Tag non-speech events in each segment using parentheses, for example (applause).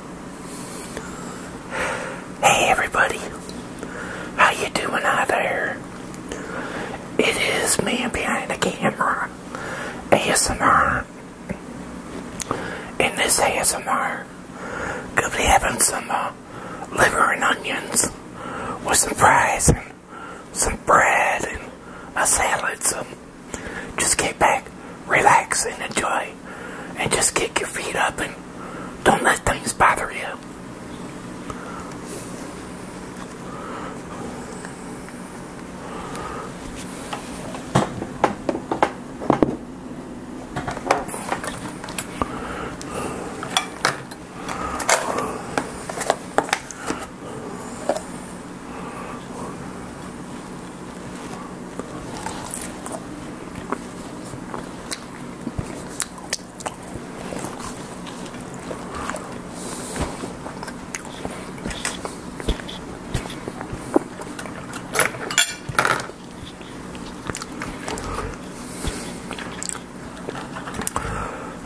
Hey everybody, how you doing out there? It is me behind the camera, ASMR, in this ASMR, gonna be having some uh, liver and onions with some fries and some bread and a salad, so just get back, relax, and enjoy and just kick your feet up and don't let things bother you.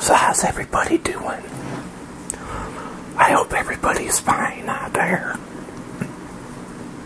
So how's everybody doing? I hope everybody's fine out there.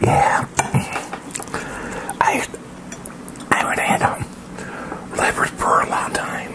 Yeah, I I haven't had um, for a long time.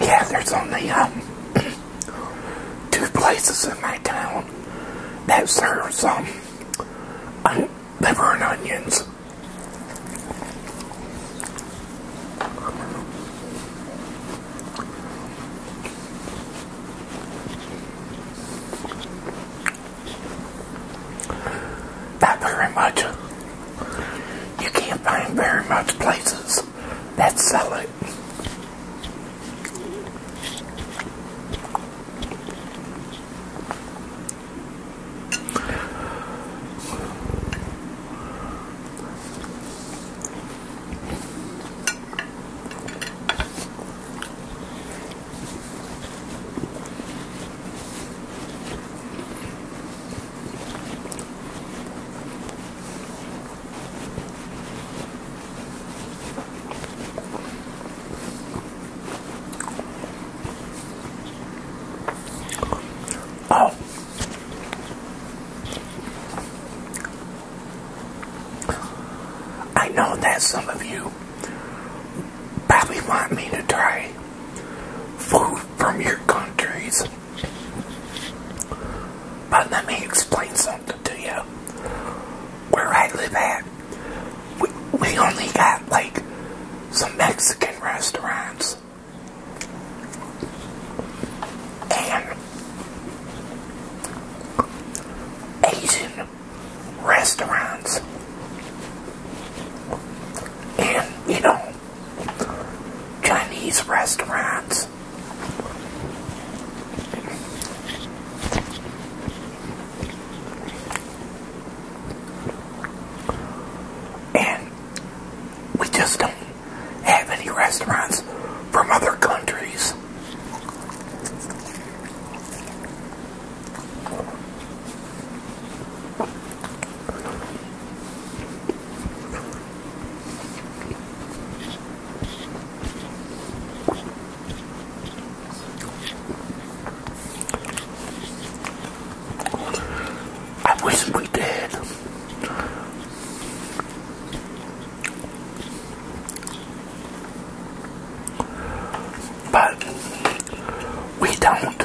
Yeah, there's only um, (clears throat) two places in my town that serve um, on liver and onions. Not very much. You can't find very much places that sell it. Oh. I know that some of you probably want me to try food from your countries. But let me explain something to you. Where I live at, we, we only got like some Mexican restaurants. And Asian restaurants. And, you know, Chinese restaurants. And we just don't have any restaurants from other countries. I wish we did. But we don't.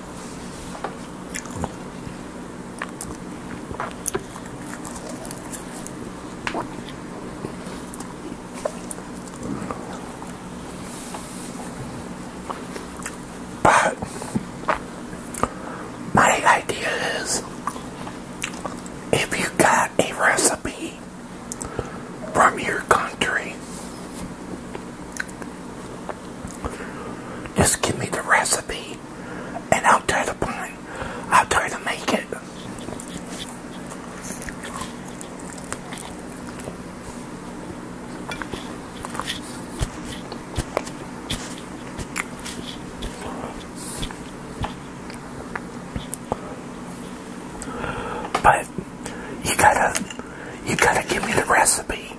But my idea is if you got a recipe from your country just give me the recipe and I'll try to find, I'll try to make it. But you gotta, you gotta give me the recipe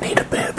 Need a bib.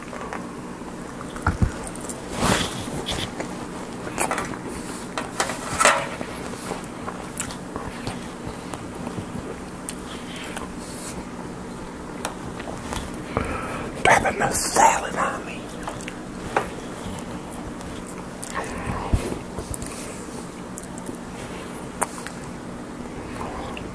Dropping the salad on me.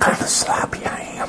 Kind of sloppy I am.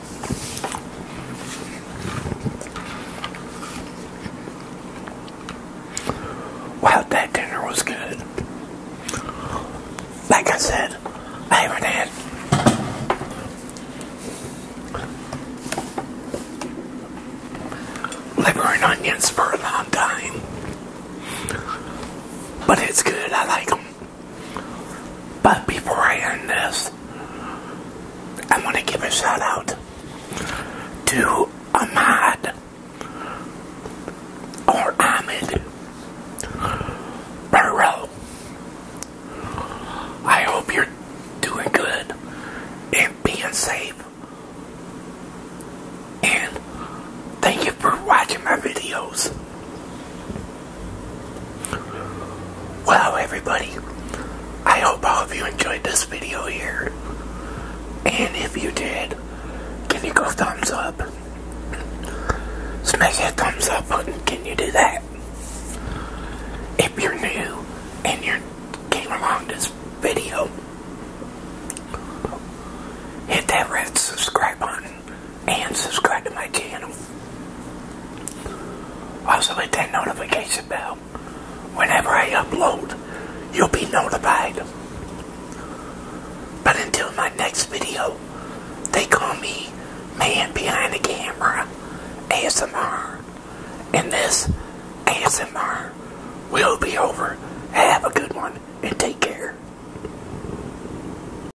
Wow, that dinner was good. Like I said, I haven't had liver and onions for a long time. But it's good, I like them. But before I end this, I am going to give a shout out to Ahmad or Ahmed Burrow. I hope you're doing good and being safe. And thank you for watching my videos. Wow, everybody, I hope all of you enjoyed this video here. And if you did, can you go thumbs up? Smash that thumbs up button. Can you do that? If you're new and you came along this video, hit that red subscribe button and subscribe to my channel. Also hit that notification bell. Whenever I upload, you'll be notified. But until my next video, they call me Man Behind the Camera ASMR. And this ASMR will be over. Have a good one and take care.